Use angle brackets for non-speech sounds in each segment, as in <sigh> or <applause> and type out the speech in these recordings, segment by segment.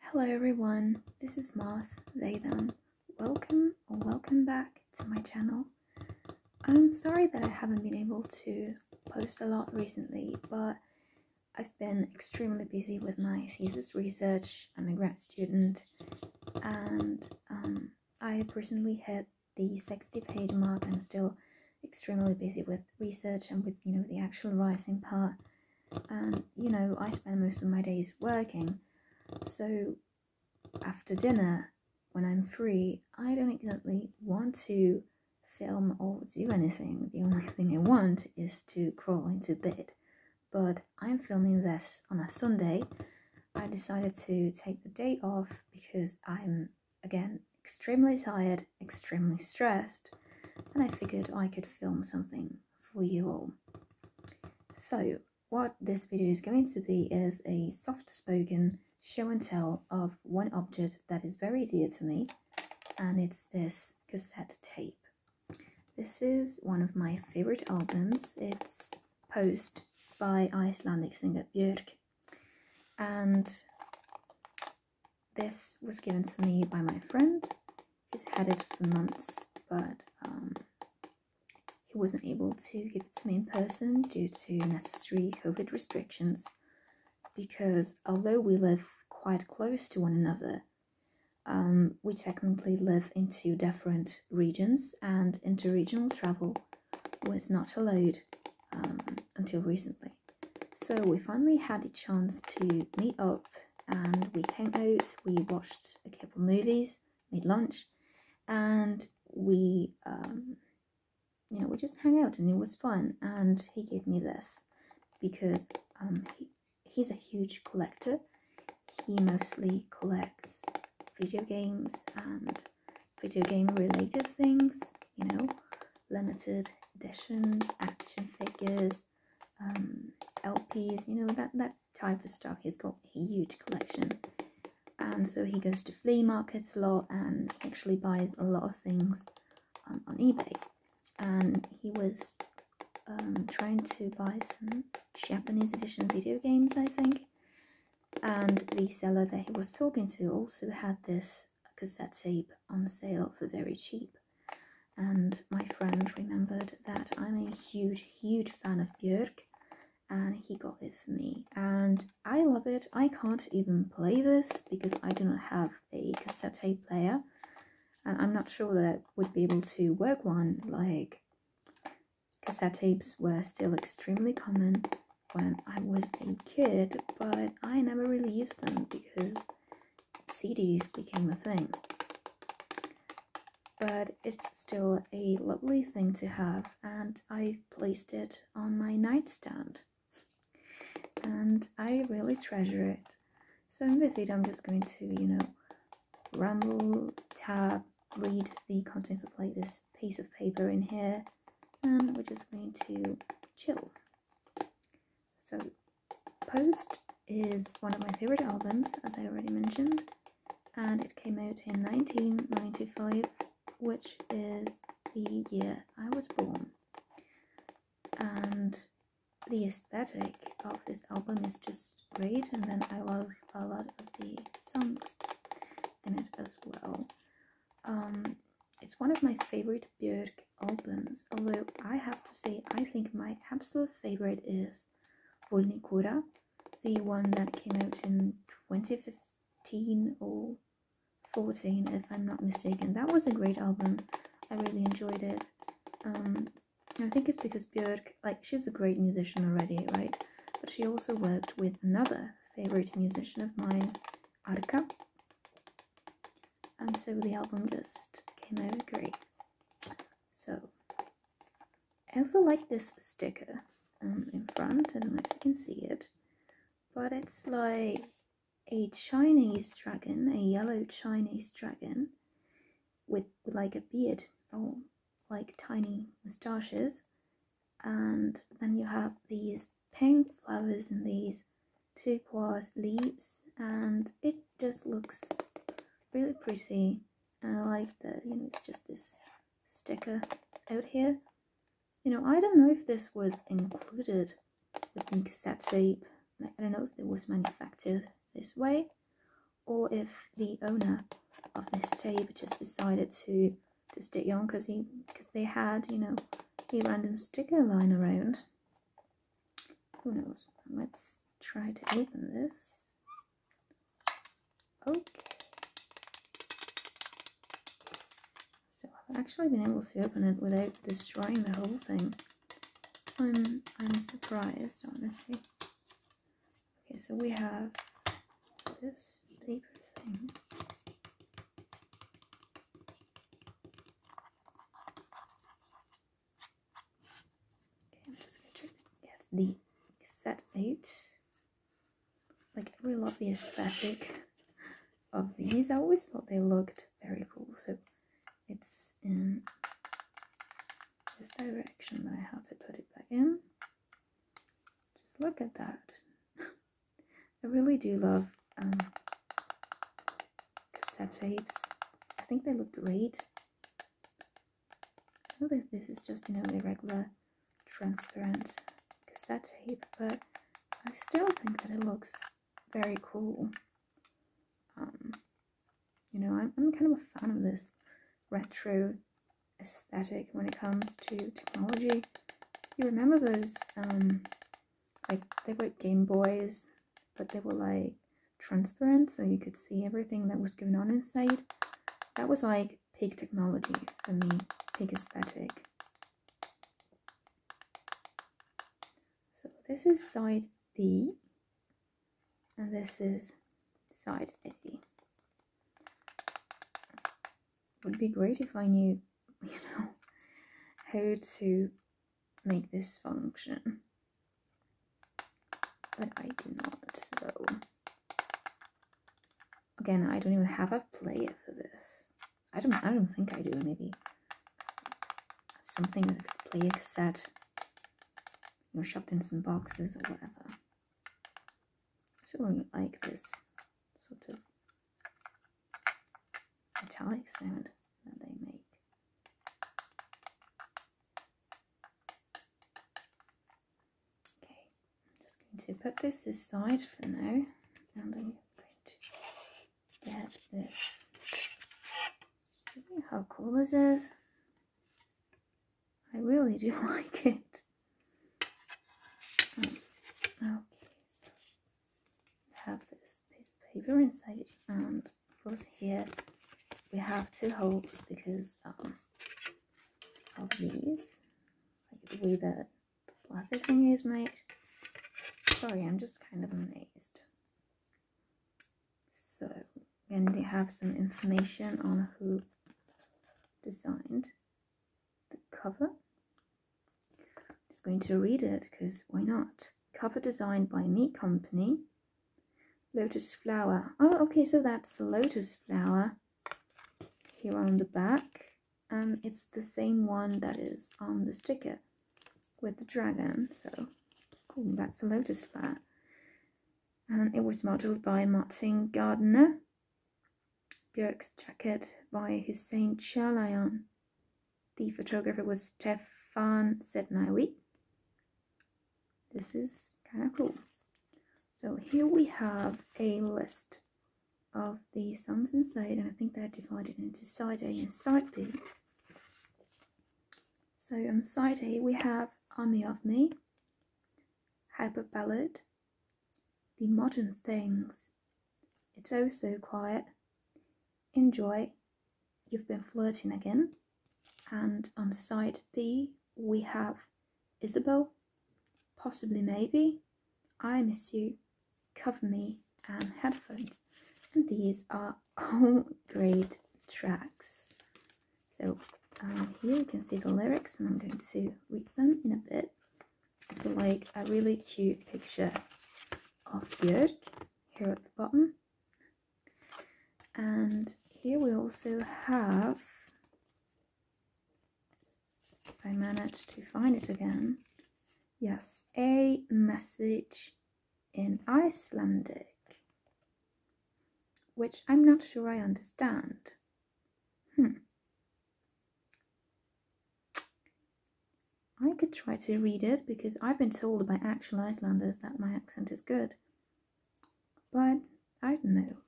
Hello everyone, this is Marth, they Welcome or welcome back to my channel. I'm sorry that I haven't been able to post a lot recently, but I've been extremely busy with my thesis research. I'm a grad student and um, I have recently hit the 60 page mark. I'm still extremely busy with research and with you know the actual writing part you know, I spend most of my days working, so after dinner, when I'm free, I don't exactly want to film or do anything. The only <laughs> thing I want is to crawl into bed. But I'm filming this on a Sunday. I decided to take the day off because I'm again extremely tired extremely stressed, and I figured I could film something for you all. So, what this video is going to be is a soft-spoken show and tell of one object that is very dear to me, and it's this cassette tape. This is one of my favourite albums. It's Post by Icelandic singer Björk. And this was given to me by my friend. He's had it for months, but um, he wasn't able to give it to me in person due to necessary COVID restrictions. Because although we live quite close to one another, um, we technically live in two different regions, and interregional travel was not allowed um, until recently. So we finally had a chance to meet up and we hung out, we watched a couple movies, made lunch, and we, um, you know, we just hung out and it was fun. And he gave me this because um, he's a huge collector. He mostly collects video games and video game related things, you know, limited editions, action figures, um, LPs, you know, that, that type of stuff. He's got a huge collection. And so he goes to flea markets a lot and actually buys a lot of things um, on eBay. And he was um, trying to buy some Japanese edition video games, I think. And the seller that he was talking to also had this cassette tape on sale for very cheap. And my friend remembered that I'm a huge, huge fan of Björk, and he got it for me. And I love it. I can't even play this because I do not have a cassette tape player, and I'm not sure that would be able to work one. Like, cassette tapes were still extremely common when I was a kid, but I never really used them because CDs became a thing. But it's still a lovely thing to have, and I've placed it on my nightstand. And I really treasure it. So in this video, I'm just going to, you know, ramble, tab, read the contents of like this piece of paper in here, and we're just going to chill. So Post is one of my favourite albums, as I already mentioned, and it came out in 1995, which is the year I was born. And the aesthetic of this album is just great, and then I love a lot of the songs in it as well. Um, it's one of my favorite Björk albums, although I have to say I think my absolute favorite is Volnicura, the one that came out in 2015 or 14 if I'm not mistaken. That was a great album. I really enjoyed it. Um, I think it's because Björk, like, she's a great musician already, right? But she also worked with another favorite musician of mine, Arka, and so the album just came out great. So, I also like this sticker um, in front, I don't know if you can see it, but it's like a Chinese dragon, a yellow Chinese dragon with like a beard or oh, like tiny moustaches and then you have these pink flowers and these turquoise leaves and it just looks really pretty and I like that you know it's just this sticker out here you know I don't know if this was included with the cassette tape like, I don't know if it was manufactured this way or if the owner of this tape just decided to to stick on because he because they had you know a random sticker lying around who knows? Let's try to open this. Okay. So I've actually been able to open it without destroying the whole thing. I'm I'm surprised, honestly. Okay, so we have this paper thing. Okay, I'm just gonna to get the set 8. Like, I really love the aesthetic of these. I always thought they looked very cool, so it's in this direction that I have to put it back in. Just look at that. <laughs> I really do love um, cassette tapes. I think they look great. I know this, is just, you know, a regular transparent cassette tape, but I still think that it looks very cool. Um, you know, I'm, I'm kind of a fan of this retro aesthetic when it comes to technology. You remember those um, like they were Game Boys, but they were like transparent so you could see everything that was going on inside. That was like pig technology for me, pig aesthetic. So this is side B and this is side A. Would be great if I knew you know, how to make this function. But I do not, so... Again, I don't even have a player for this. I don't, I don't think I do, maybe. Something that I could play a cassette. You know, shoved in some boxes or whatever. So I like this sort of metallic sound that they make. Okay, I'm just going to put this aside for now and I'm going to get this. See how cool this is? I really do <laughs> like it. Um, okay, have this piece of paper inside and of course here we have two holes because um, of these like the way that plastic thing is made sorry I'm just kind of amazed so and they have some information on who designed the cover I'm just going to read it because why not? Cover designed by Meat Company. Lotus flower. Oh, okay, so that's a lotus flower here on the back. And um, it's the same one that is on the sticker with the dragon. So cool, that's a lotus flower. And it was modeled by Martin Gardner. Björk's jacket by Hussein Chalayan. The photographer was Stefan Setnawi. This is kind of cool. So here we have a list of the songs inside, and I think they're divided into side A and side B. So on side A we have Army of Me, Hyper Ballad, The Modern Things, it's oh so quiet. Enjoy. You've been flirting again. And on side B, we have Isabel, possibly maybe, I miss you, cover me, and headphones. And these are <laughs> all great tracks. So um, here you can see the lyrics, and I'm going to read them in a bit so like a really cute picture of Björk here at the bottom and here we also have if I manage to find it again yes a message in Icelandic which I'm not sure I understand hmm I could try to read it because I've been told by actual Icelanders that my accent is good. But I don't know.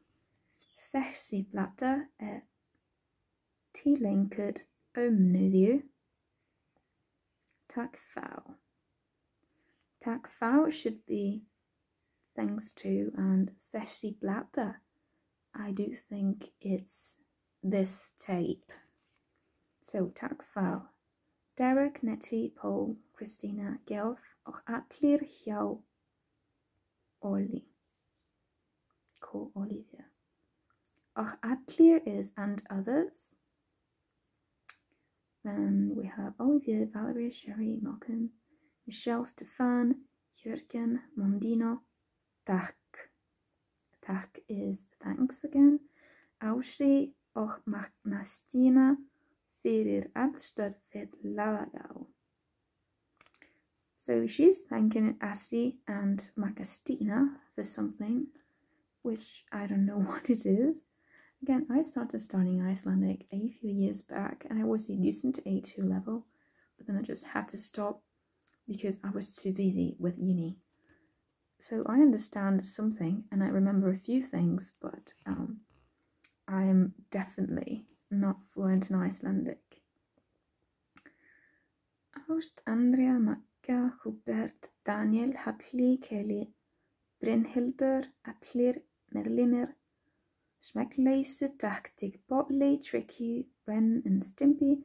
Þessi blata er eh, tilenkud ómnuðju. Takk þá. Takk þá should be thanks to and þessi blata I do think it's this tape. So, tak Derek, Netti, Paul, Christina, Gelf, och atlir hiau Oli. Call Olivia. Och is and others. Then we have Olivia, Valerie, Sherry, Malcolm, Michelle, Stefan, Jürgen, Mondino, tak. Tak is thanks again. Aushi och Nastina fyrir er allstar fyrir lagau. So she's thanking Asti and Macastina for something, which I don't know <laughs> what it is. Again, I started studying Icelandic a few years back and I was a decent A2 level, but then I just had to stop because I was too busy with uni. So I understand something and I remember a few things, but um, I am definitely not fluent in Icelandic. Ást, Andrea, Magga, Hubert, Daniel, Halli, Kelly, Brynhildur, Allir, Merlimir, Schmeckleysu, Taktik, Botley, Tricky, Ren and Stimpy,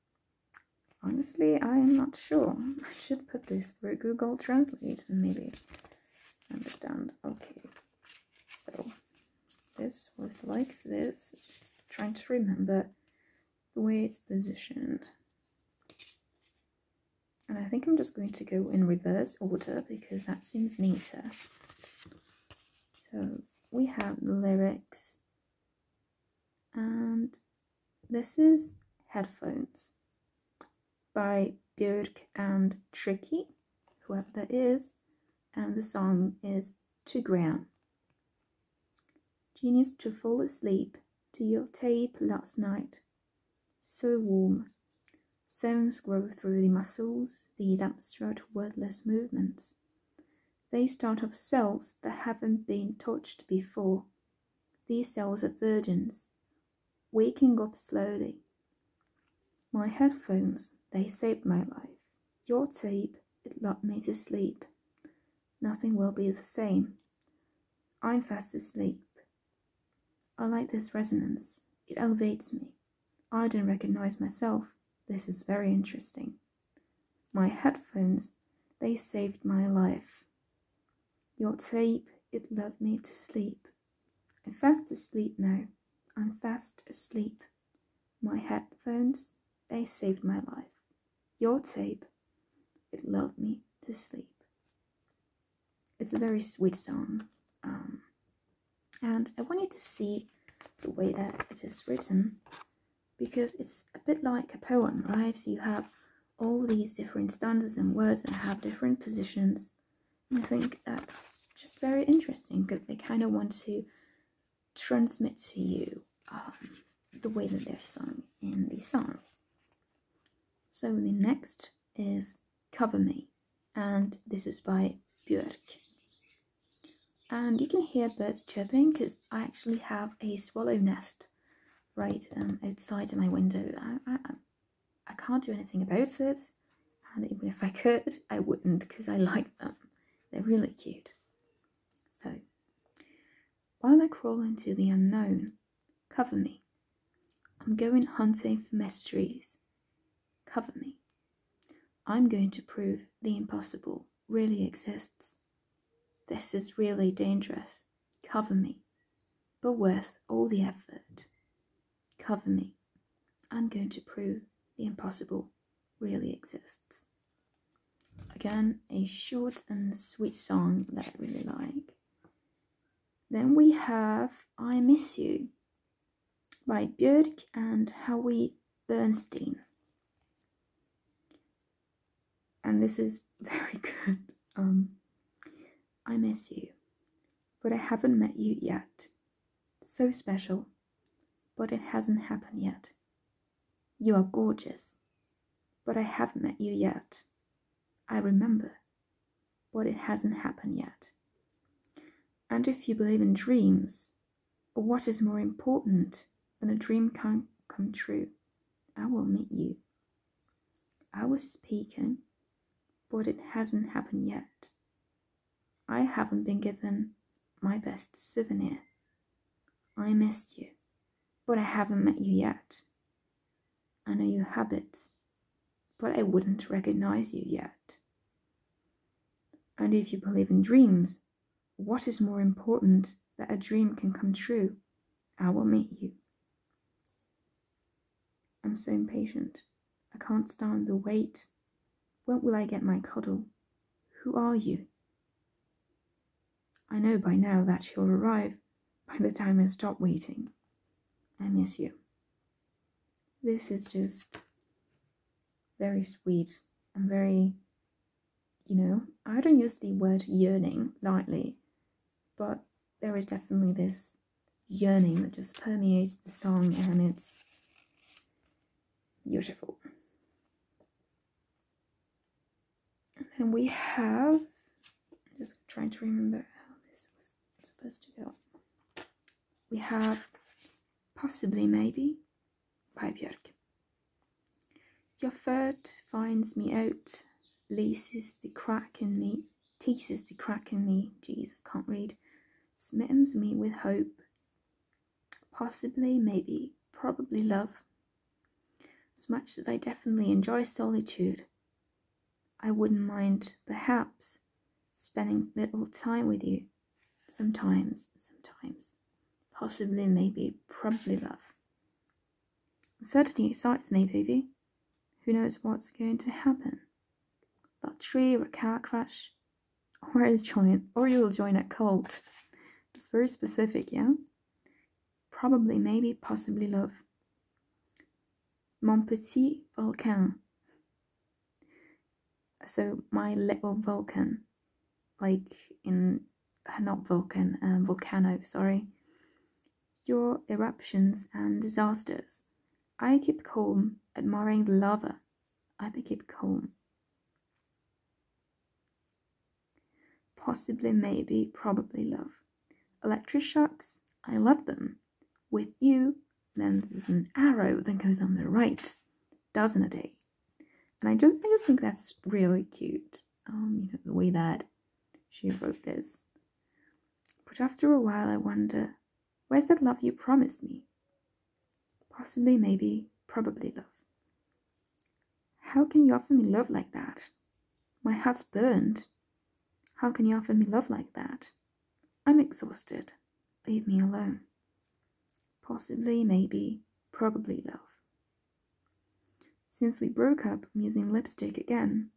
Honestly, I am not sure. I should put this through Google Translate and maybe understand. Okay, so this was like this. trying to remember the way it's positioned. And I think I'm just going to go in reverse order because that seems neater. So we have the lyrics and this is Headphones by Björk and Tricky, whoever that is, and the song is To Gram." Genius to fall asleep to your tape last night. So warm. Sounds grow through the muscles, these abstract wordless movements. They start off cells that haven't been touched before. These cells are virgins, waking up slowly. My headphones, they saved my life. Your tape, it locked me to sleep. Nothing will be the same. I'm fast asleep. I like this resonance. It elevates me. I don't recognize myself. This is very interesting. My headphones, they saved my life. Your tape, it lulled me to sleep. I'm fast asleep now. I'm fast asleep. My headphones, they saved my life. Your tape, it lulled me to sleep. It's a very sweet song. Um, and I want you to see the way that it is written because it's a bit like a poem, right? you have all these different stanzas and words that have different positions. I think that's just very interesting because they kind of want to transmit to you um, the way that they're sung in the song. So the next is Cover Me, and this is by Björk. And you can hear birds chirping because I actually have a swallow nest right um, outside my window. I, I can't do anything about it, and even if I could, I wouldn't because I like them. They're really cute. So, while I crawl into the unknown, cover me. I'm going hunting for mysteries. Cover me. I'm going to prove the impossible really exists. This is really dangerous. Cover me, but worth all the effort. Cover me. I'm going to prove the impossible really exists. Again, a short and sweet song that I really like. Then we have I Miss You by Björk and Howie Bernstein and this is <laughs> very good. Um, I miss you, but I haven't met you yet. So special, but it hasn't happened yet. You are gorgeous, but I haven't met you yet. I remember, but it hasn't happened yet. And if you believe in dreams, but what is more important than a dream can come true? I will meet you. I was speaking, but it hasn't happened yet. I haven't been given my best souvenir. I missed you, but I haven't met you yet. I know your habits, but I wouldn't recognize you yet. And if you believe in dreams, what is more important that a dream can come true? I will meet you. I'm so impatient. I can't stand the wait. When will I get my cuddle? Who are you? I know by now that she'll arrive by the time I stop waiting. I miss you. This is just very sweet and very you know, I don't use the word yearning lightly, but there is definitely this yearning that just permeates the song and it's beautiful. And we have, just trying to remember how this was supposed to go. We have Possibly Maybe by Björk. Your third finds me out, laces the crack in me, teases the crack in me. Jeez, I can't read. Smittens me with hope. Possibly, maybe, probably love. As much as I definitely enjoy solitude, I wouldn't mind, perhaps, spending little time with you. Sometimes, sometimes possibly, maybe, probably love. Certainly excites me, baby. Who knows what's going to happen? That tree, or a car crash? Or a will join, or you'll join a cult. It's very specific, yeah? Probably, maybe, possibly love. Mon petit volcan. So, my little volcano like in uh, not volcano, um, volcano sorry your eruptions and disasters i keep calm admiring the lava i keep calm possibly maybe probably love electric shocks i love them with you then there's an arrow that goes on the right dozen a day eh? and I just I just think that's really cute. Um, you know the way that she wrote this. But after a while, I wonder, where's that love you promised me? Possibly, maybe, probably love. How can you offer me love like that? My heart's burned. How can you offer me love like that? I'm exhausted. Leave me alone. Possibly, maybe, probably love. Since we broke up, I'm using lipstick again.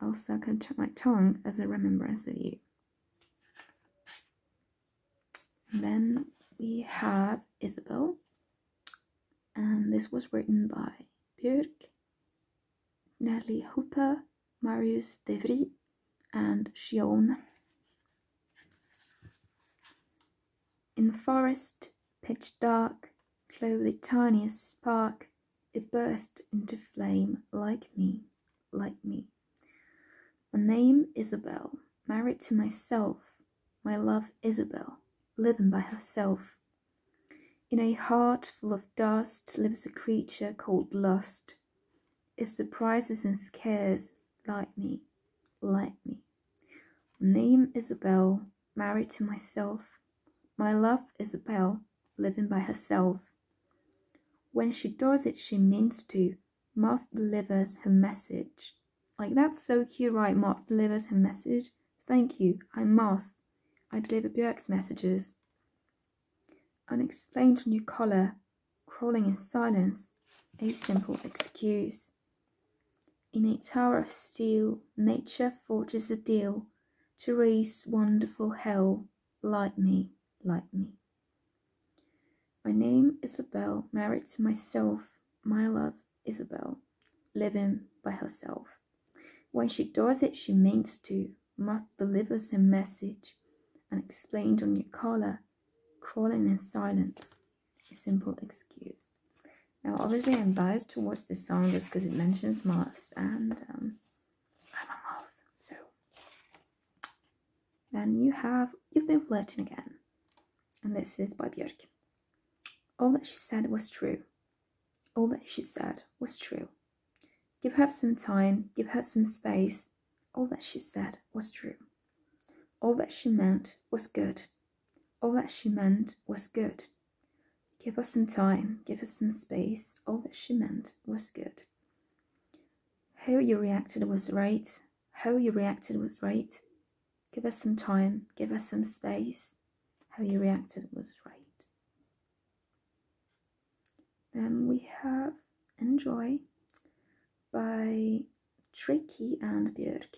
I'll suck on my tongue as a remembrance of you. then we have Isabel, and this was written by Björk, Nelly Hooper, Marius Devry, and Shion. In forest, pitch dark, clove the tiniest spark, it burst into flame like me, like me. My name Isabel, married to myself, my love Isabel, living by herself. In a heart full of dust lives a creature called lust. It surprises and scares, like me, like me. Name Isabel, married to myself. My love Isabel, living by herself. When she does it, she means to. Martha delivers her message. Like, that's so cute, right? Martha delivers her message. Thank you, I'm Martha. I deliver Björk's messages. Unexplained new colour, crawling in silence. A simple excuse. In a tower of steel, nature forges a deal to raise wonderful hell. Light me, light me. My name Isabel, married to myself, my love Isabel, living by herself. When she does it, she means to. Must deliver some message, unexplained on your collar, crawling in silence a simple excuse. Now, obviously, I'm biased towards this song just because it mentions Mars and um, I'm a moth. So, then you have You've Been Flirting Again, and this is by Björk. All that she said was true. All that she said was true. Give her some time, give her some space. All that she said was true. All that she meant was good. All that she meant was good. Give us some time, give us some space. All that she meant was good. How you reacted was right. How you reacted was right. Give us some time, give us some space. How you reacted was right. Then we have enjoy by Tricky and Björk.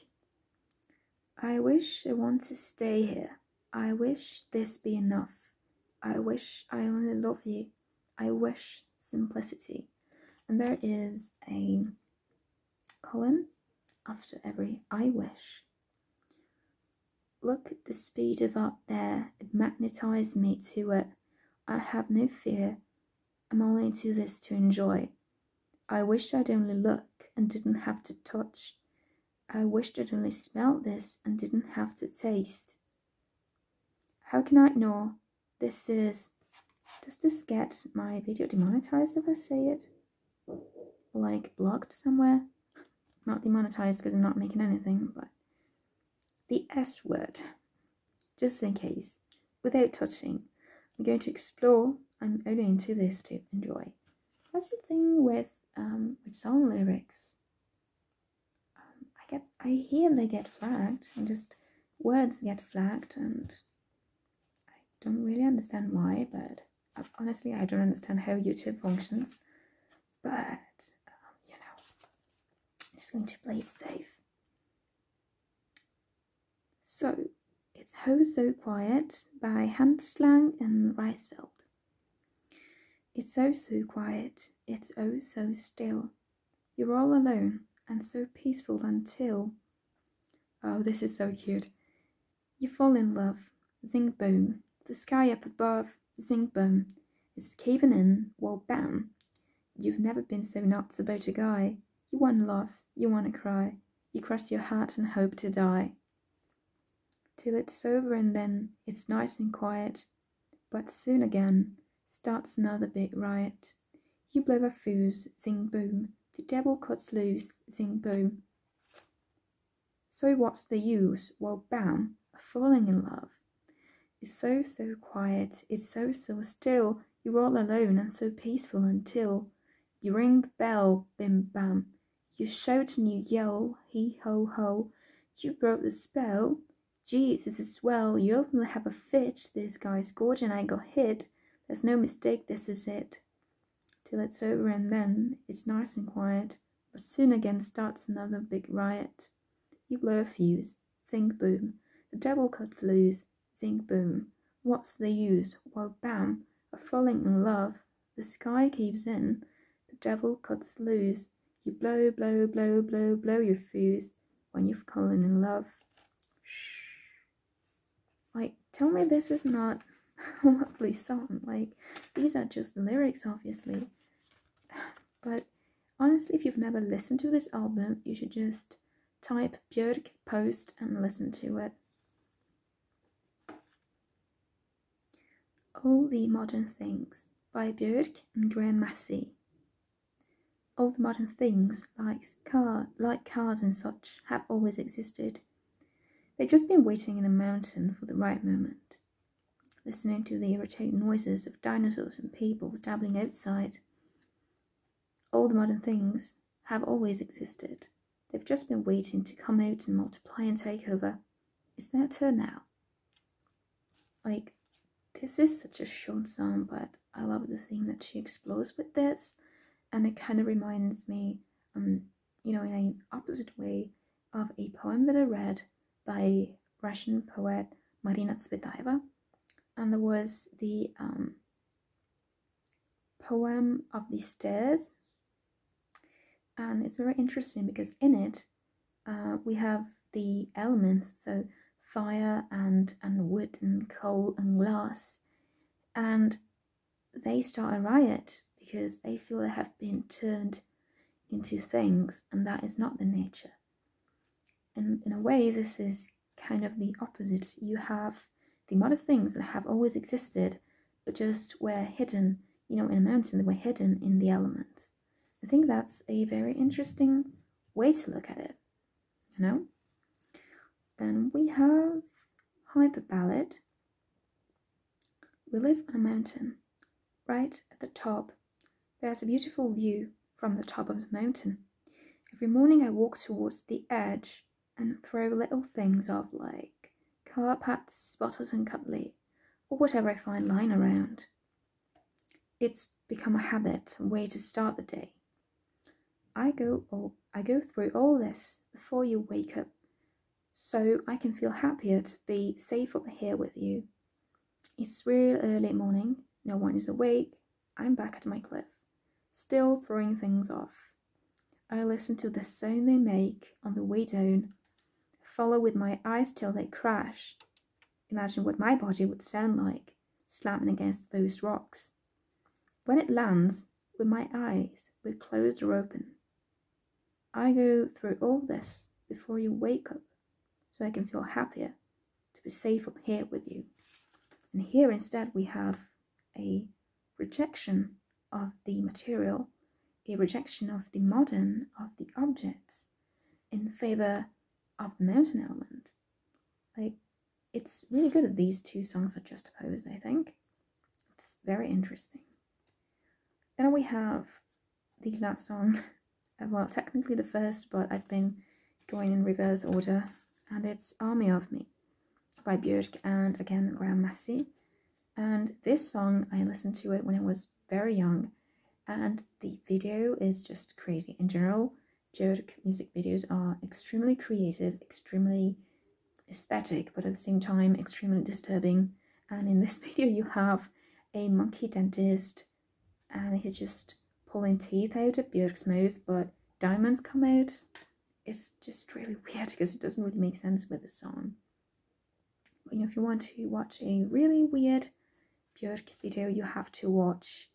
I wish I want to stay here. I wish this be enough. I wish I only love you. I wish simplicity. And there is a colon after every I wish. Look at the speed of art there. It magnetized me to it. I have no fear. I'm only into this to enjoy. I wished I'd only look and didn't have to touch. I wished I'd only smelled this and didn't have to taste. How can I ignore? This is. Does this get my video demonetized if I say it? Like blocked somewhere? Not demonetized because I'm not making anything, but. The S word just in case, without touching. I'm going to explore. I'm only into this to enjoy. That's the thing with um, with song lyrics. Um, I get, I hear they get flagged, and just words get flagged, and I don't really understand why. But um, honestly, I don't understand how YouTube functions. But you know, I'm just going to play it safe. So, it's Ho So Quiet by Hanslang and Reisfeld. It's oh so quiet, it's oh so still. You're all alone and so peaceful until. Oh, this is so cute. You fall in love, zing boom. The sky up above, zing boom. It's caving in, well bam. You've never been so nuts about a guy. You wanna laugh, you wanna cry, you cross your heart and hope to die. Till it's over and then it's nice and quiet, but soon again starts another big riot. You blow a fuse, zing boom, the devil cuts loose, zing boom. So what's the use? Well, bam, falling in love. It's so, so quiet, it's so, so still, you are all alone and so peaceful until you ring the bell, bim bam. You shout and you yell, hee ho ho. You broke the spell. Geez, this is swell. You openly have a fit. This guy's gorge and I got hit. There's no mistake, this is it. Till it's over and then it's nice and quiet. But soon again starts another big riot. You blow a fuse. Sing boom. The devil cuts loose. Zing boom. What's the use? Well, bam. Of falling in love. The sky caves in. The devil cuts loose. You blow, blow, blow, blow, blow your fuse when you've fallen in love. Shh. Like, tell me this is not <laughs> a lovely song. Like, these are just lyrics, obviously. <sighs> But honestly, if you've never listened to this album, you should just Type Björk post and listen to it. All the Modern Things by Björk and Graham Massey. All the modern things, like, car, like cars and such, have always existed. They've just been waiting in a mountain for the right moment, listening to the irritating noises of dinosaurs and people dabbling outside. All the modern things have always existed. They've just been waiting to come out and multiply and take over. It's their turn now. Like, this is such a short song, but I love the thing that she explores with this. And it kind of reminds me, um, you know, in an opposite way of a poem that I read by Russian poet Marina Tsvetaeva and there was the um, poem of the stairs and it's very interesting because in it uh, we have the elements so fire and and wood and coal and glass and they start a riot because they feel they have been turned into things and that is not the nature and in a way this is kind of the opposite. You have the amount of things that have always existed, but just were hidden, you know, in a mountain, they were hidden in the element. I think that's a very interesting way to look at it, you know? Then we have hyperballad. We live on a mountain, right at the top there is a beautiful view from the top of the mountain. Every morning I walk towards the edge and throw little things off like car parts, bottles and cutlery, or whatever I find lying around. It's become a habit, a way to start the day. I go all, I go through all this before you wake up, so I can feel happier to be safe up here with you. It's real early morning, no one is awake, I'm back at my cliff, still throwing things off. I listen to the sound they make on the way down, follow with my eyes till they crash. Imagine what my body would sound like, slamming against those rocks. When it lands, with my eyes, were closed or open. I go through all this before you wake up, so I can feel happier to be safe up here with you. And here instead we have a rejection of the material, a rejection of the modern, of the objects, in favour of the mountain element. Like, it's really good that these two songs are juxtaposed, I think. It's very interesting. Then we have the last song <laughs> Uh, well, technically the first, but I've been going in reverse order, and it's Army of Me by Björk and again Graham Massey. And this song, I listened to it when I was very young, and the video is just crazy. In general, Björk music videos are extremely creative, extremely aesthetic, but at the same time, extremely disturbing. And in this <laughs> video, you have a monkey dentist and he's just pulling teeth out of Björk's mouth, but diamonds come out. It's just really weird because it doesn't really make sense with the song. But you know, if you want to watch a really weird Björk video, you have to watch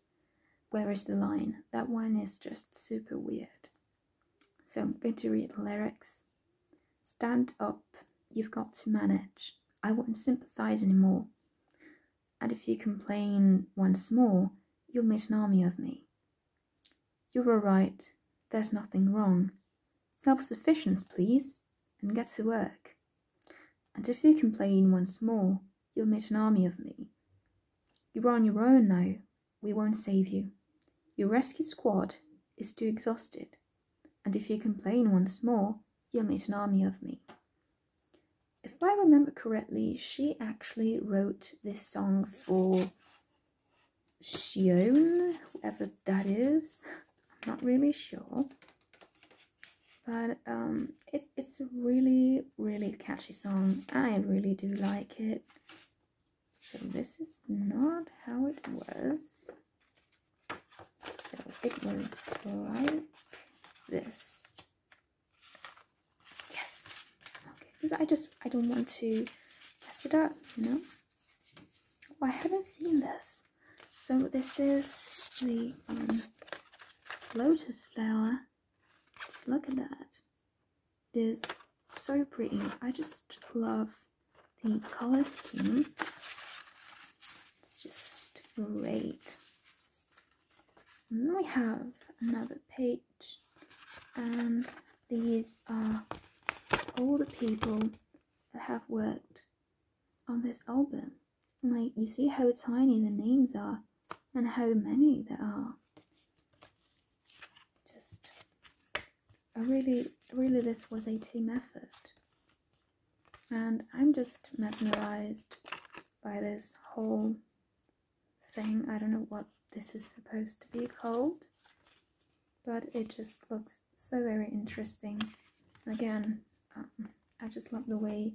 Where is the Line? That one is just super weird. So I'm going to read the lyrics. Stand up, you've got to manage. I won't sympathize anymore and if you complain once more, you'll meet an army of me. You all right. there's nothing wrong. Self sufficiency, please, and get to work. And if you complain once more, you'll meet an army of me. You're on your own now, we won't save you. Your rescue squad is too exhausted, and if you complain once more, you'll meet an army of me if I remember correctly, she actually wrote this song for Shion, whoever that is. I'm not really sure. But um, it's, it's a really, really catchy song. I really do like it. So this is not how it was. So it was like this. Yes. Okay. Because I just I don't want to mess it up, you know. Oh, I haven't seen this. So this is the um, lotus flower. Just look at that. It is so pretty. I just love the color scheme. It's just great. And we have another page, and these are all the people that have worked on this album. Like, you see how tiny the names are and how many there are. Just, I really, really, this was a team effort. And I'm just mesmerized by this whole thing. I don't know what this is supposed to be called, but it just looks so very interesting. Again, um, I just love the way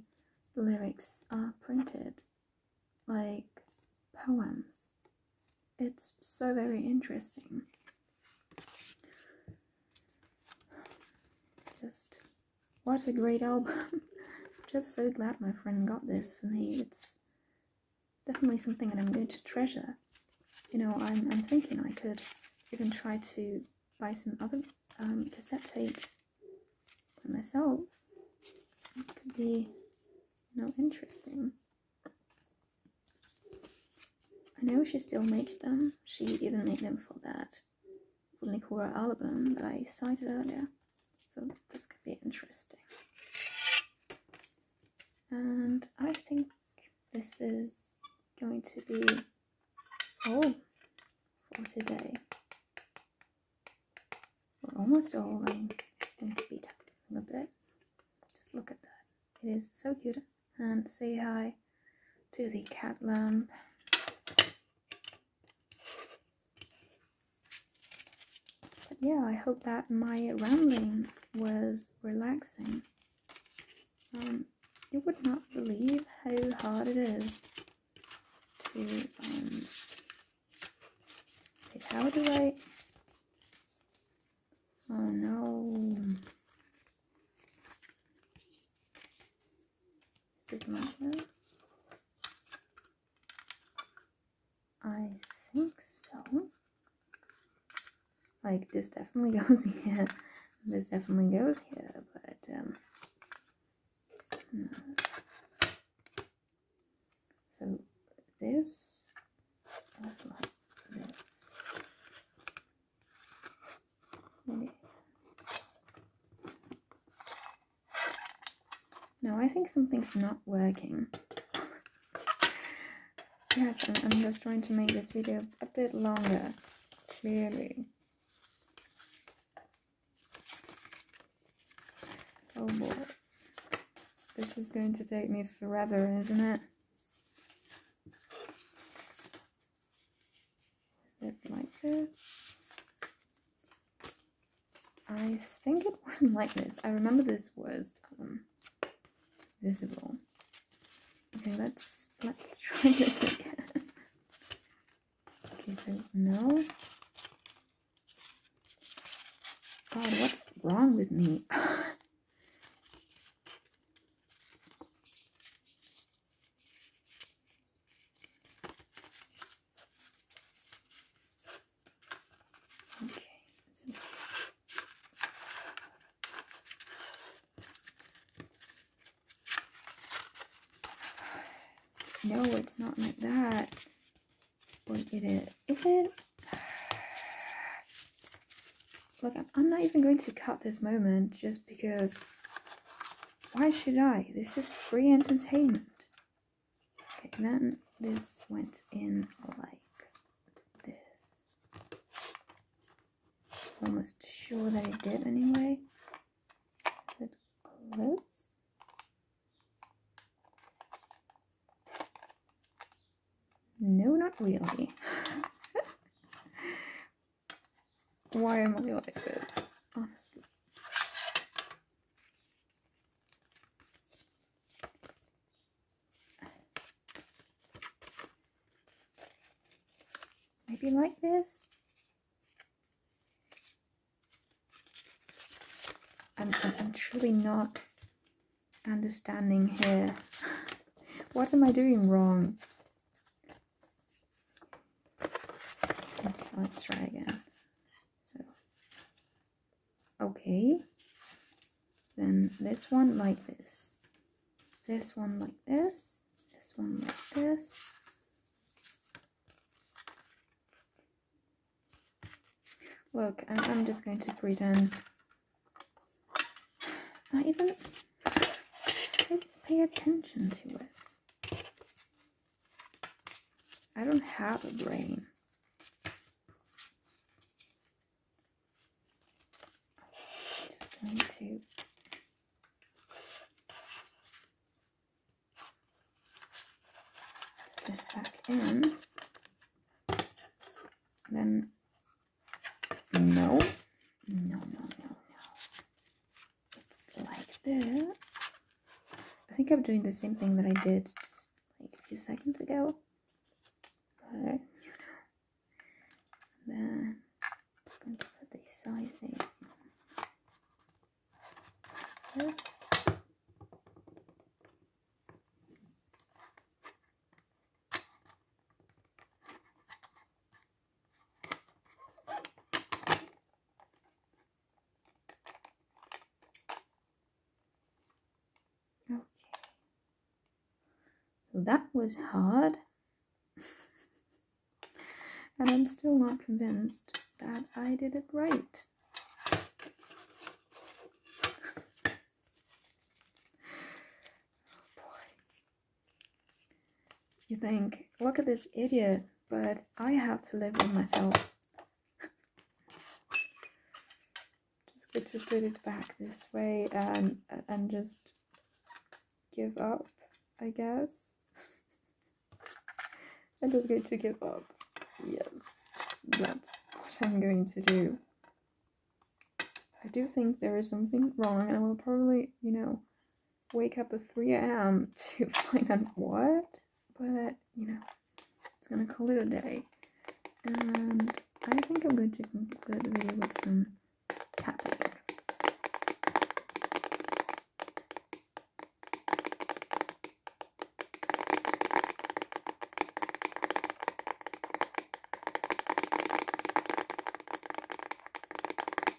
the lyrics are printed, like poems. It's so very interesting. Just what a great album. <laughs> Just so glad my friend got this for me. It's definitely something that I'm going to treasure. You know, I'm, thinking I could even try to buy some other um, cassette tapes myself. It could be, you know, interesting. I know she still makes them. She even made them for that for Nicora album that I cited earlier. So this could be interesting. And I think this is going to be all oh, for today. We're almost all. i going to speed up a bit. Just look at that. It is so cute. And say hi do the cat loan. But yeah, I hope that my rambling was relaxing. Um, you would not believe how hard it is to, um, how do I, oh no, I think so. Like this definitely <laughs> goes here. This definitely goes here, but um So this. No, I think something's not working. Yes, I'm, just trying to make this video a bit longer, clearly. Oh boy. This is going to take me forever, isn't it? zip like this. I think it <laughs> wasn't like this. I remember this was um, visible. Okay, let's let's <laughs> try this again. okay, no. God, what's wrong with me? <laughs> <sighs> no, it's not like that. Look it. Is it? <sighs> Look, I'm not even going to cut this moment just because why should I? This is free entertainment. Okay, then this went in like this. Almost sure that it did anyway. Is it close? No, not really. <laughs> Why am I like this? Honestly. Maybe like this? I'm, I'm, I'm truly not understanding here. <laughs> what am I doing wrong? let's try again. So, okay. Then this one like this. This one like this. This one like this. Look, I'm, I'm just going to pretend. I even Pay, pay attention to it. I don't have a brain. I'm just going to this back in. Then no, no, no, no, no it's like this. I think I'm doing the same thing that I did just like a few seconds ago. But, then put the sizing like this. Okay. So that was hard. <laughs> and I'm still not convinced that I did it right. <laughs> Oh, you think, look at this idiot, but I have to live with myself. <laughs> just good to put it back this way and, and just give up, I guess. <laughs> I'm just going to give up. Yes, that's what I'm going to do. I do think there is something wrong, and I will probably, you know, wake up at 3 a.m. <laughs> to find out what, but you know, it's gonna call it a day. And I think I'm going to conclude the video with some tapping.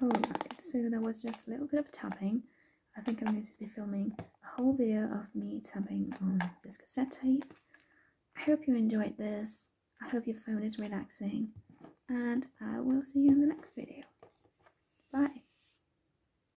Oh, Alright, so there was just a little bit of tapping. I think I'm going to be filming a whole video of me tapping on this cassette tape. I hope you enjoyed this. I hope your phone is relaxing. And I will see you in the next video. Bye.